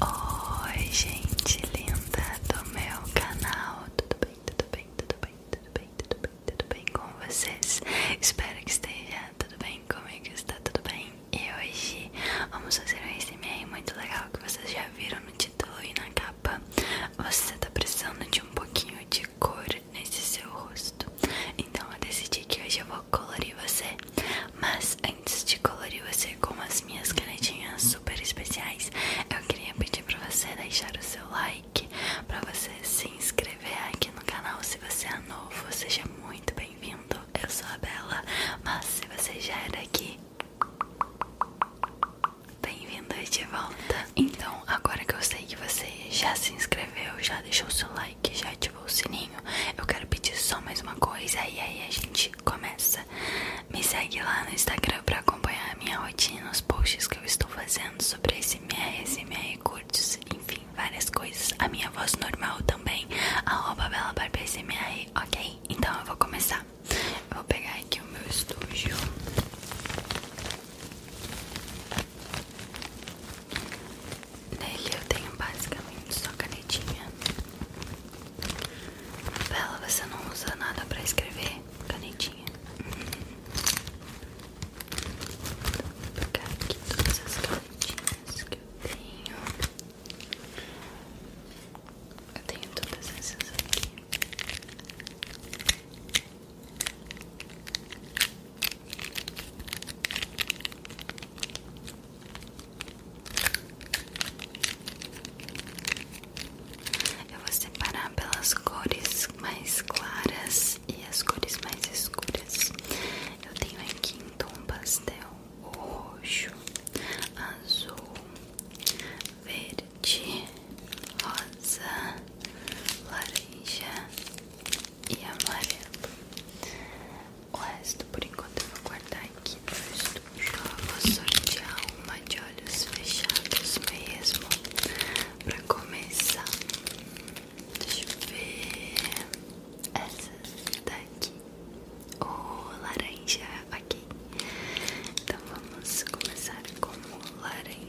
Oi gente linda do meu canal, tudo bem, tudo bem, tudo bem, tudo bem, tudo bem, tudo bem com vocês? Espero que esteja tudo bem comigo, está tudo bem? E hoje vamos fazer um ASMR muito legal que vocês já viram no título e na capa Você está precisando de um pouquinho de cor nesse seu rosto Então eu decidi que hoje eu vou colorir você mas antes de colorir você com as minhas canetinhas super especiais, eu queria pedir para você deixar o seu like, para você se inscrever aqui no canal se você é novo, seja muito bem-vindo. Eu sou a Bela, mas se você já era é aqui, Bem-vindo de volta! Então, agora que eu sei que você já se inscreveu, já deixou o seu like, já ativou o sininho, eu quero pedir só mais uma coisa e aí a gente começa. Me segue lá no Instagram para acompanhar a minha rotina, os posts que eu estou fazendo sobre SMR, SMR curtos, enfim, várias coisas. A minha voz normal também, arroba belabarbaSMR, ok? Então eu vou começar. vou pegar aqui o meu estúdio. Nele eu tenho basicamente só canetinha Bela, você não usa nada pra escrever? Canetinha. Vou pegar aqui todas as canetinhas que eu tenho. Eu tenho todas essas aqui. Eu vou separar pelas cores mais claras e as cores mais escuras. Eu tenho aqui em pastel roxo, azul, verde, rosa, laranja e amarelo. O resto, por enquanto, eu vou guardar aqui no estúdio. vou sortear uma de olhos fechados mesmo pra começar. Deixa eu ver. Essa daqui. O laranja, ok. Então vamos começar com o laranja.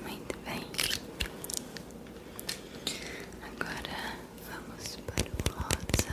Muito bem. Agora vamos para o rosa.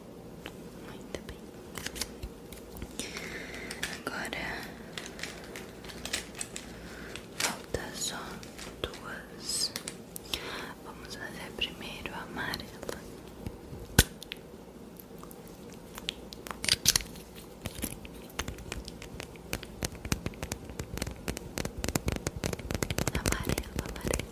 Muito bem. Agora falta só duas. Vamos fazer primeiro a amarela. amarela amarelo.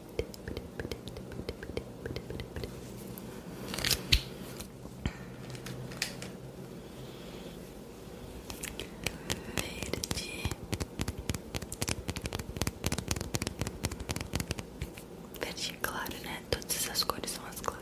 Verde, verde é claro, né? Todas essas cores são as claras.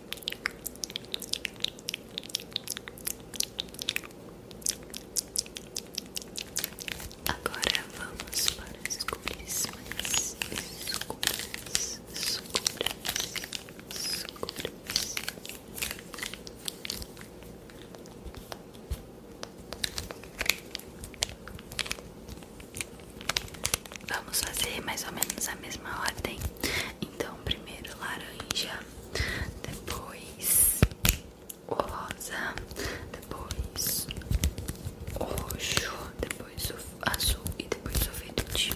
Agora vamos para as cores mais escuras, escuras, escuras. Vamos fazer mais ou menos a mesma ordem então, primeiro laranja, depois rosa, depois roxo, depois azul e depois o verde.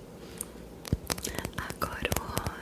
Agora o rosa.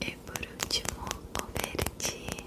E por último, o verde.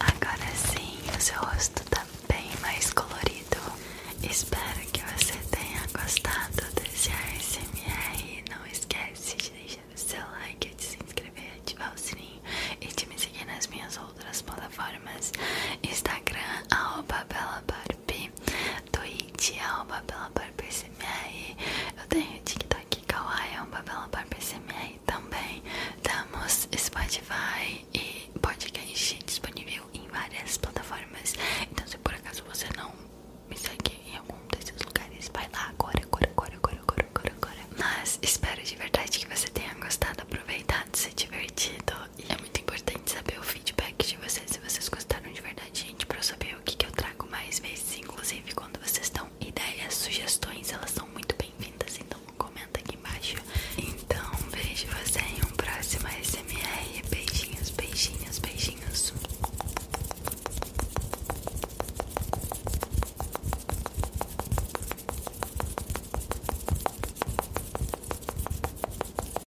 Agora sim, o seu rosto tá bem mais colorido. Espero que você tenha gostado desse ASMR. Não esquece de deixar o seu like, de se inscrever, ativar o sininho e de me seguir nas minhas outras plataformas: Instagram, arroba Bela Barbie, do It é o Babela Barbie SMR. Eu tenho o TikTok Kawaii, é o Babela Barbie SMR também. Temos Spotify e podcast disponível em várias plataformas. Então, se por acaso você não me segue em algum desses lugares, vai lá agora, agora, agora, agora, agora, agora. Mas espero de verdade que você tenha gostado, aproveitado, se divertido e é muito importante saber o feedback de vocês, se vocês gostaram de verdade, gente, pra eu saber o que, que eu trago mais vezes, inclusive quando vocês dão ideias, sugestões, elas são muito bem-vindas, então comenta aqui embaixo. Então, vejo você em um próximo ASMR beijinhos, beijinhos, beijinhos.